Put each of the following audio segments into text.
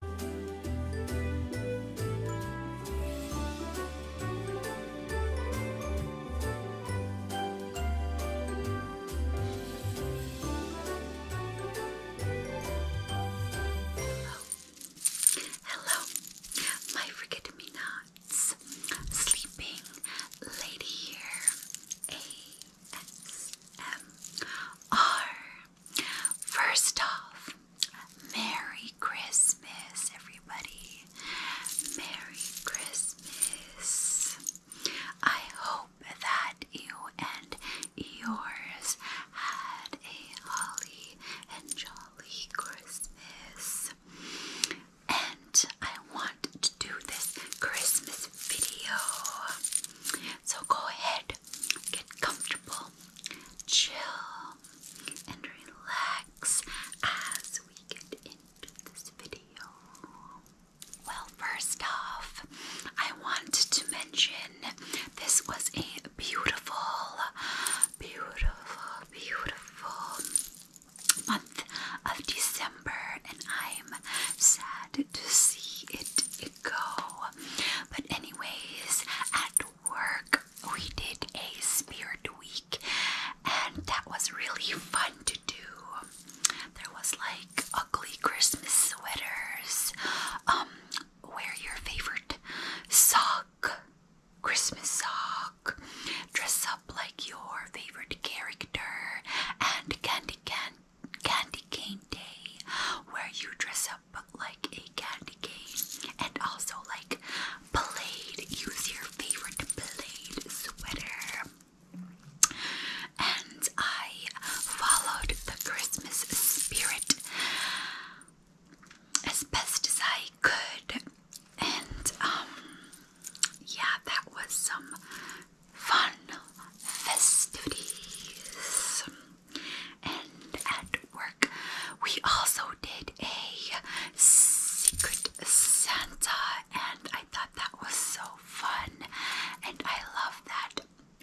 Hello, my forget sleeping lady here, A S M R. First off, Merry Christmas, everybody. Merry Christmas. I hope that you and yours had a holly and jolly Christmas. And I want to do this Christmas video. So go ahead, get comfortable, chill, and relax as we get into this video. Well, first off, I want to mention this was a beautiful, beautiful, beautiful month of December, and I'm sad to see it go. But, anyways, at work we did a spirit week, and that was really fun to do. There was like ugly Christmas sweaters, um, wear your favorite sock, Christmas sock, dress up like your favorite character, and candy candy candy cane day where you dress up like a candy cane and also like blade use your favorite blade sweater and I followed the Christmas spirit as best as I could and um yeah that was some fun festivities and at work, we also did a Secret Santa, and I thought that was so fun, and I love that.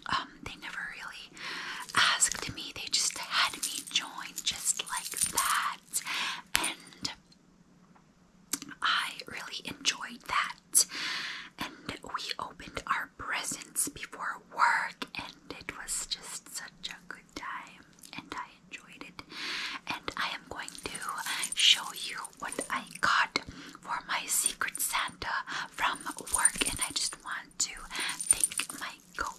Um, they never really asked me; they just had me join, just like that, and I really enjoyed that. And we opened our presents before work, and it was just such a good time, and I enjoyed it. And I am going to show you what I got for my Secret Santa from work, and I just want to thank my co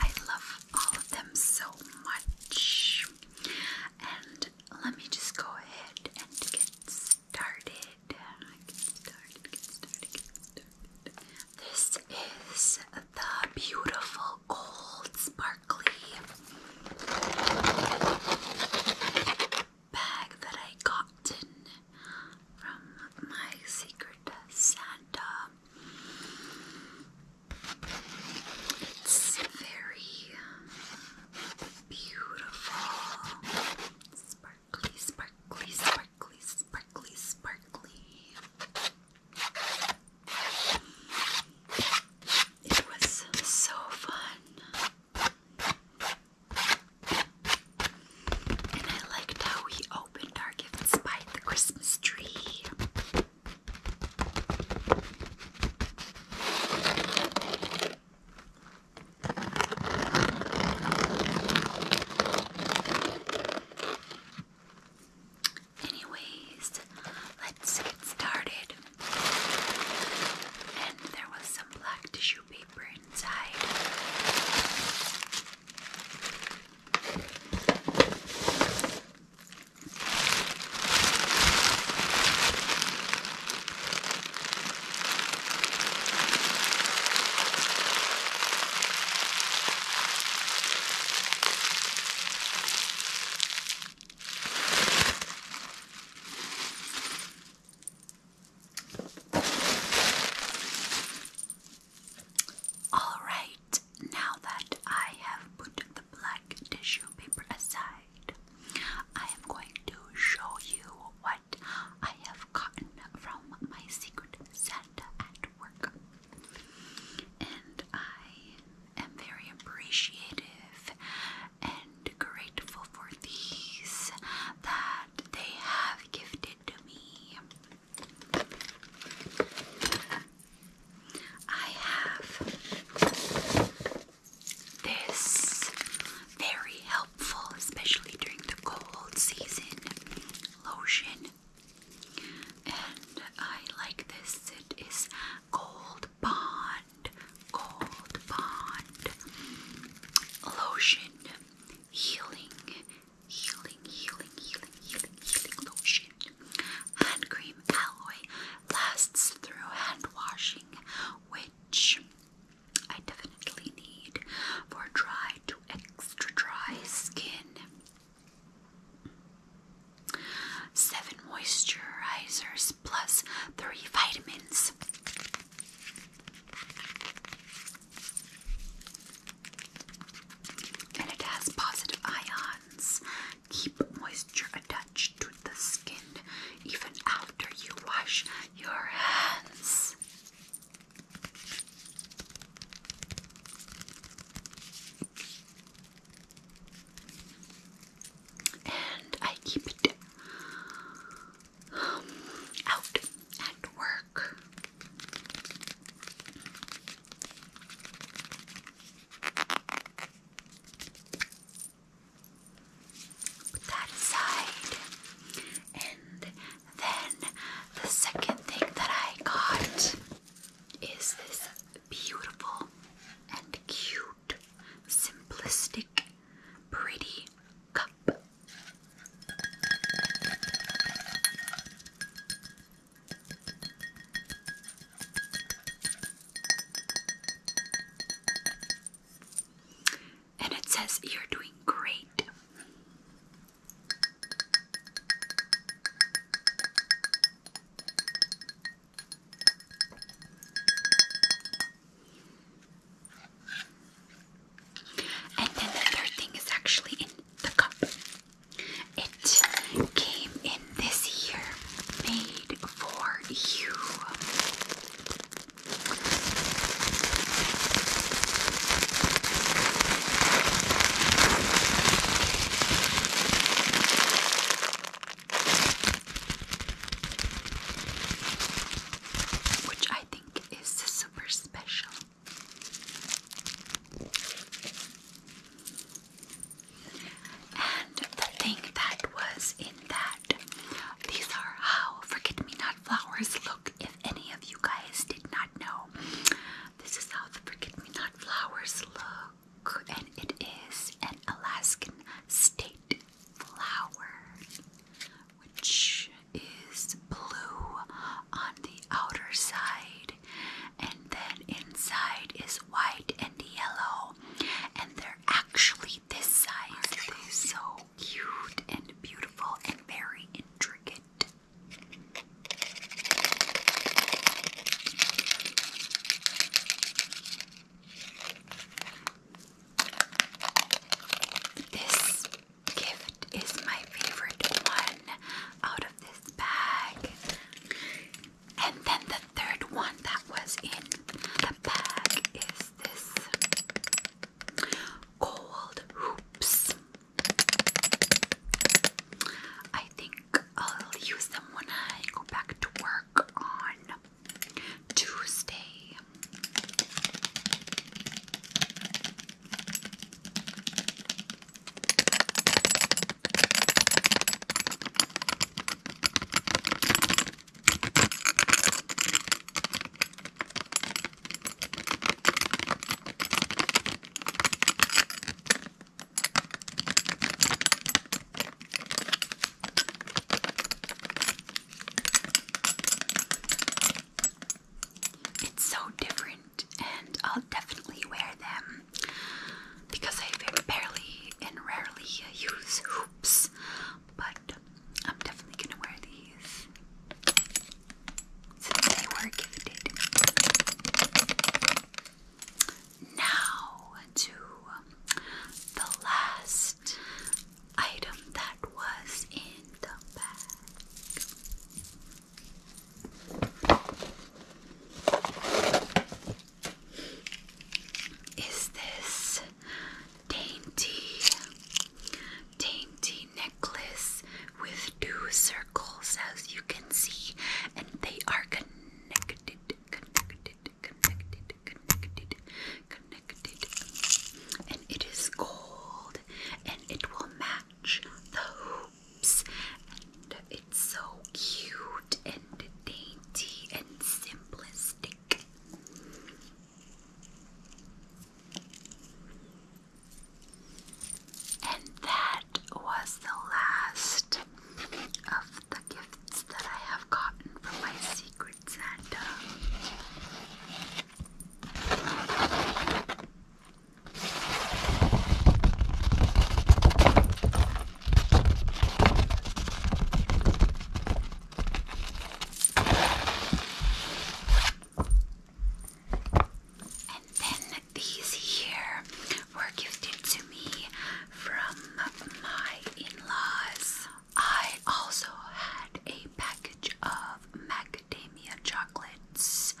I love all of them so much. And let me just go ahead and get started. Get started, get started, get started. This is the beautiful gold sparkly bag that I got from my secret Santa. It's very beautiful. Sparkly, sparkly, sparkly, sparkly, sparkly. It was so fun. And I liked how we opened our gifts by the Christmas tree. Anyways, let's get started. And there was some black tissue paper inside. All right, now that I have put the black tissue paper aside, I am going to show you what I have gotten from my secret Santa at work. And I am very appreciative and grateful for these that they have gifted to me. I have this very helpful, especially during the cold season lotion. And I like this. It is Gold Bond, Gold Bond Lotion, Healing, Healing, Healing, Healing, Healing, Healing Lotion. Hand cream alloy lasts through hand washing, I definitely need for dry to extra dry skin. Seven moisturizers plus three vitamins. And it has positive ions. Keep moisture to the skin even after you wash your hands. And I keep it um, out at work that aside. And then the second thing that I got is this beautiful and cute, simplistic, pretty cup. And it says you're doing great. And then the third thing is actually in the cup. It came in this year made for you. Which I think is super special. And the thing that was in that, these are how forget me not flowers look. If any of you guys did not know, this is how the forget me not flowers look, and it is an Alaskan state flower, which is blue on the outer side, and then inside is white and yellow and they're actually this size. They're so cute and beautiful and very intricate. This gift is my favorite one out of this bag. And then the third one that was in the bag is this gold hoops. I think I'll use them when I go back to work on Tuesday. It's so different, and I'll definitely wear them because I barely and rarely use hoops, but I'm definitely gonna wear these since they were gifted. Now to um, the last item that was in the bag is this dainty, dainty necklace with two circles, as you can see, and they are connected, connected, connected, connected, and it is gold, and it will match the hoops, and it so cute and dainty and simplistic. And that was the last of the gifts that I have gotten from my Secret Santa. And then these here were gifted to me from my in-laws. I also had a package of macadamia chocolates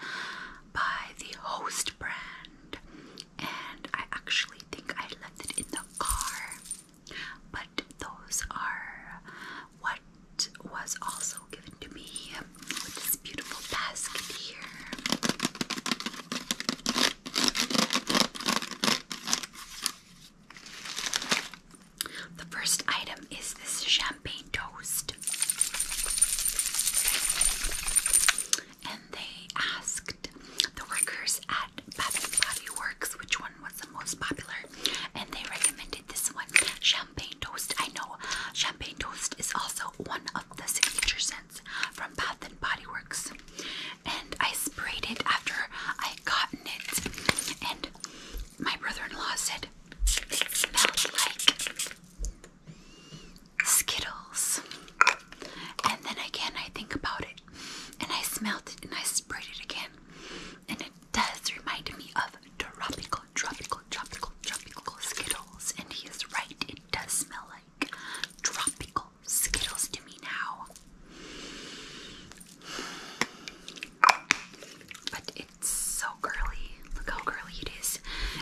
by the Host brand, and I actually I think I left it in the car. But those are what was also given to me this beautiful basket here. The first item is this champagne toast and they asked the workers at Bath and Body Works which one was the most popular, and they recommended this one, champagne toast. I know champagne toast is also one of the signature scents from Bath and Body Works, and I sprayed it after I gotten it, and my brother-in-law said it smelled like Skittles. And then again, I think about it and I smelled it and I sprayed it again. And it does remind me of tropical, tropical, tropical, tropical Skittles. And he is right, it does smell like tropical Skittles to me now. But it's so girly. Look how girly it is.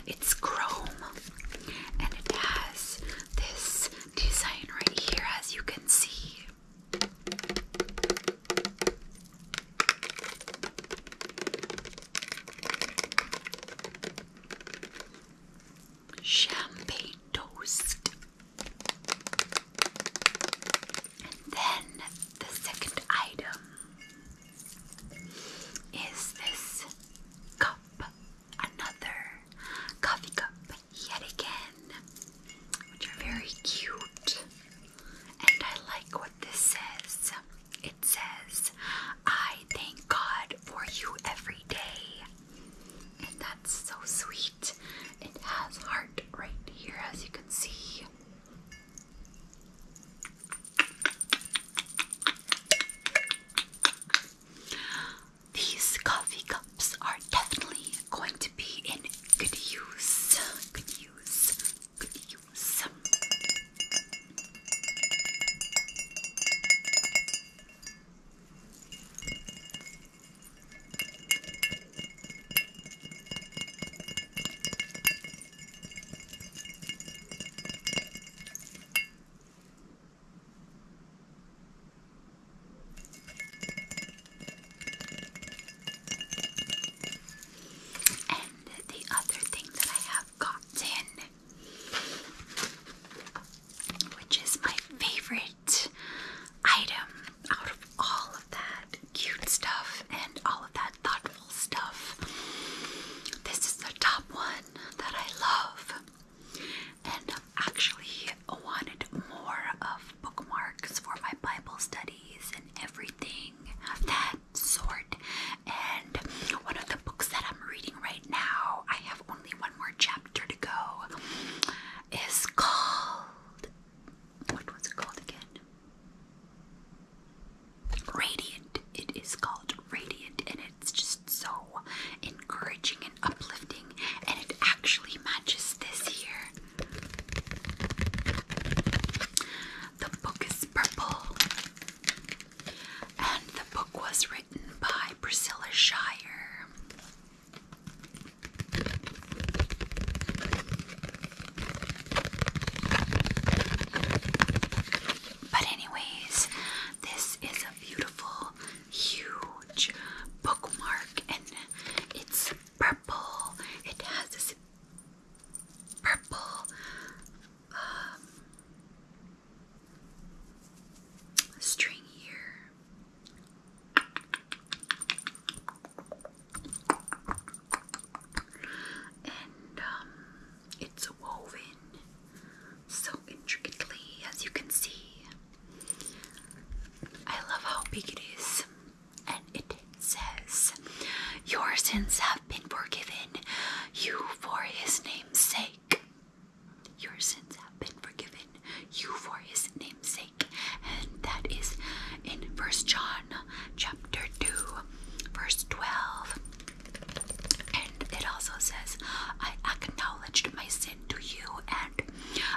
It's chrome and it has this design right here, as you can see. Champagne toast. And then the second item is this cup another coffee cup yet again, which are very cute. And I like what this says. It says, I thank God for you every day. And that's so sweet. It has heart right here, as you can see. These coffee cups are definitely going to be in good use. Good use. Good use. And the other thing that I have gotten, which is my favorite item out of all of that cute stuff and all of that thoughtful stuff, this is the top one that I love. And um, actually wanted more of bookmarks for my Bible studies and everything of that sort. And one of the books that I'm reading right now, I have only one more chapter to go, is called. What was it called again? Radiant. It is called Radiant, In it it's just so encouraging and uplifting, and it actually matches this here. The book is purple, and the book was written by Priscilla Shire. But anyways, this is a beautiful, huge bookmark, and it's purple. It has this purple um, string here. And um, it's woven so intricately, as you can see. I love how big it is, and it says, Your sins have been forgiven, you for his name's sake. Your sins have been forgiven, you for his name's sake. And that is in First John chapter 2, verse 12. And it also says, I acknowledged my sin to you, and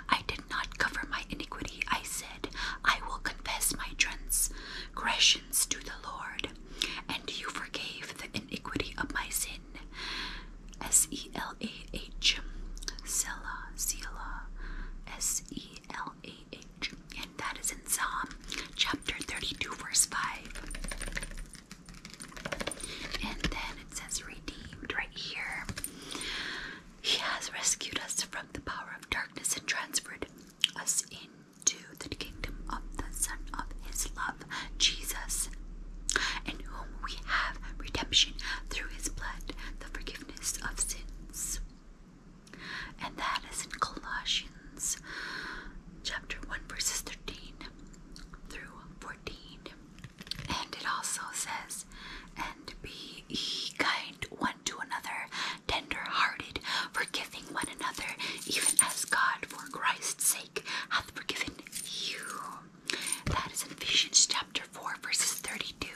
I did not cover my iniquity. I said, I will confess my transgressions to the Lord, and you forgave the iniquity of my sin. S E L A H, Selah, Selah, S E L A H. And that is in Psalm chapter 32, verse 5. And then it says redeemed right here. He has rescued us from the power of darkness and transferred us into the kingdom of the Son of His love, Jesus, in whom we have redemption through His blood, the forgiveness of sins. And that is in Colossians. Corinthians chapter 1 verses 13 through 14. And it also says, And be ye kind one to another, tender hearted, forgiving one another, even as God for Christ's sake hath forgiven you. That is in Ephesians chapter 4 verses 32.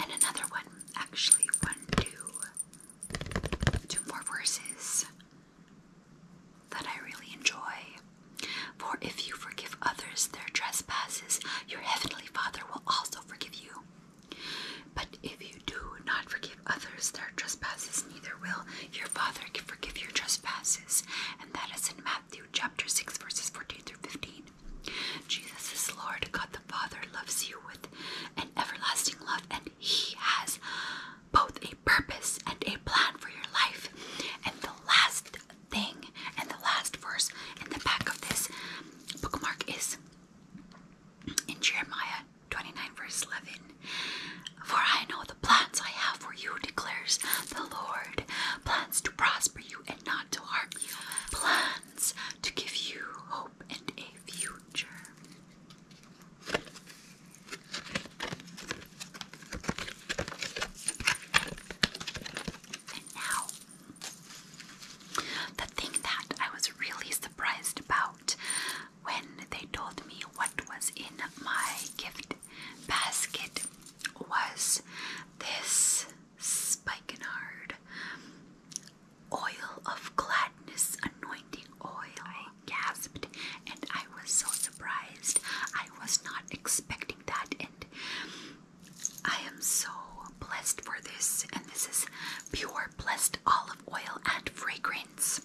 And another one, actually, one, two, two more verses that I really enjoy. For if you forgive others their trespasses, your heavenly Father will also forgive you. But if you do not forgive others their trespasses, neither will your Father forgive your trespasses. And that is in Matthew chapter 6, verses 14 through 15. Jesus is Lord. God the Father loves you with an everlasting love, and He has both a purpose and a plan for your life. And the last thing and the last verse in the back of this bookmark is in Jeremiah 29, verse 11 For I know the plans I have for you, declares the Lord plans to to prosper you and not to harm you, plans to give you hope and a future. And now, the thing that I was really surprised about when they told me what was in my gift basket was this spikenard, oil of gladness, anointing oil. I gasped and I was so surprised. I was not expecting that, and I am so blessed for this. And this is pure blessed olive oil and fragrance.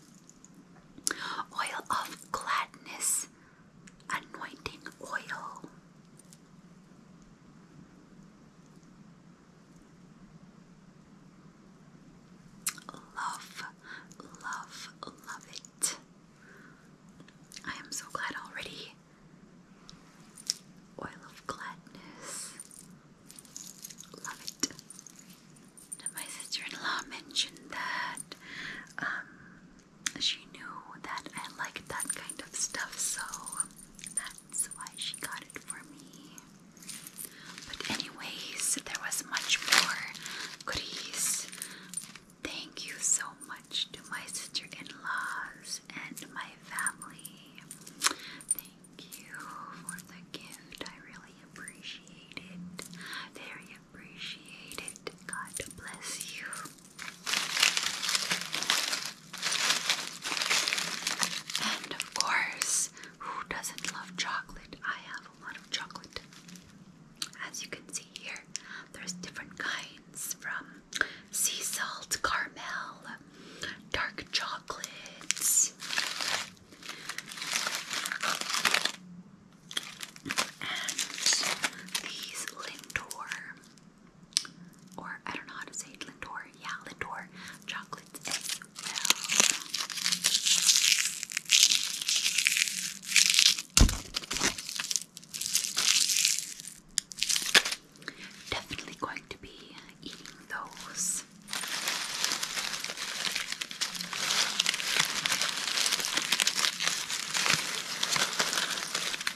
Oil of gladness, anointing oil. Love, love, love it. I am so glad already. Oil of gladness. Love it. My sister in law mentioned that um, she knew that I liked that kind of stuff, so that's why she got it for me. But, anyways, there was much more goodies. Thank you so much to my sister in laws and my family. Thank you for the gift. I really appreciate it. Very appreciated. God bless you. And of course, who doesn't love chocolate? I have a lot of chocolate. As you can see here, there's different kinds from sea salt, caramel, dark chocolates, and these Lindor or I don't know how to say Lindor, yeah, Lindor chocolates Definitely going to be eating those.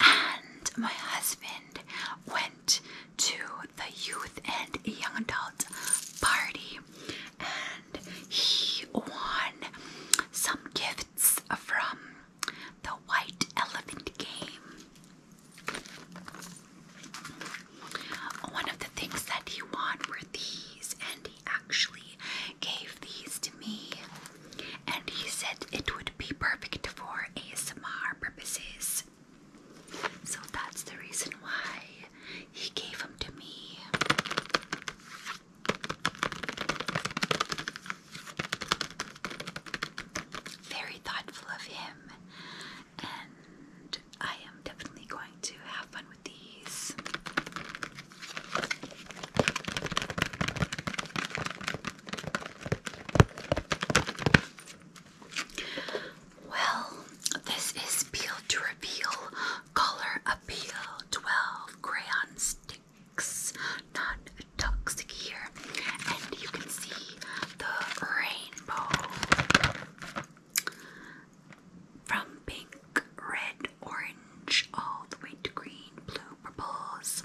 And my husband went to the youth and young adult party and he won some gifts from the White Elephant game. One of the things that he won were these, and he actually gave these to me and he said it would be perfect for ASMR purposes. So that's the reason why he gave them to me. Very thoughtful of him, and I am definitely going to have fun with these. Well, this is Peel to Reveal Color Appeal 12 Crayon Sticks Non Toxic here, and you can see the rainbow from pink, red, orange, all the way to green, blue, purples,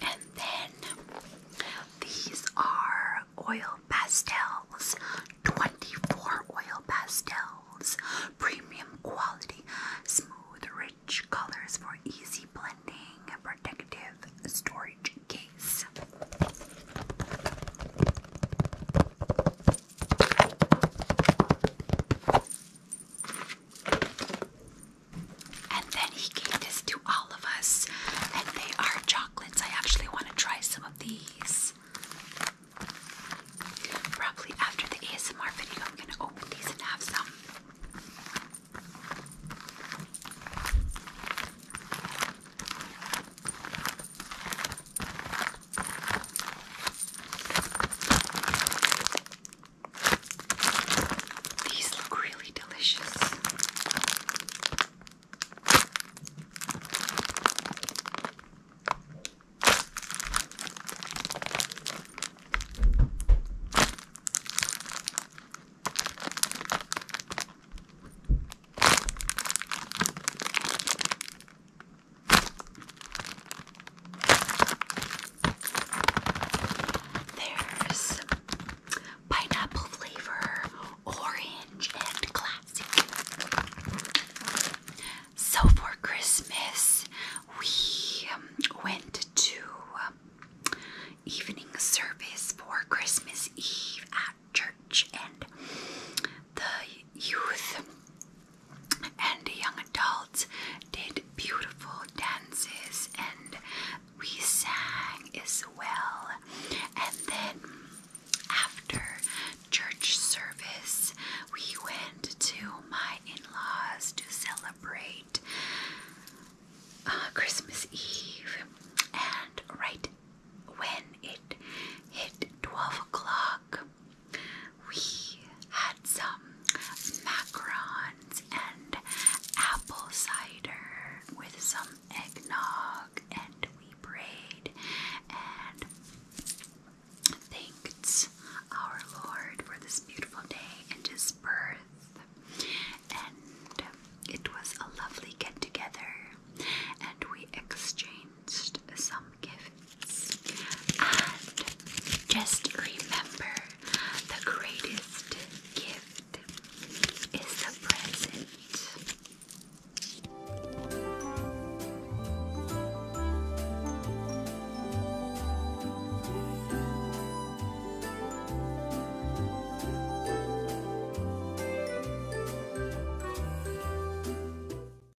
And then these are oil pastels 24 oil pastels, premium quality, smooth, rich colors for easy blending, and protective storage case. And then he gave this to all of us, and they are chocolates. I actually want to try some of these. Probably after the ASMR video, I'm going to open these and have some. These look really delicious. There's pineapple flavor, orange, and classic. So for Christmas, we um, went to um, evening service for Christmas Eve at church, and the youth and the young adults did beautiful dances and we sang as well. And then after church service, we went to my in laws to celebrate uh, Christmas Eve. And right when it hit 12 o'clock, we had some macarons and apple cider with some eggnog, and we prayed and thanked our Lord for this beautiful day and His birth. And it was a lovely get together, and we exchanged arranged some gifts. And just remember the greatest gift is the present.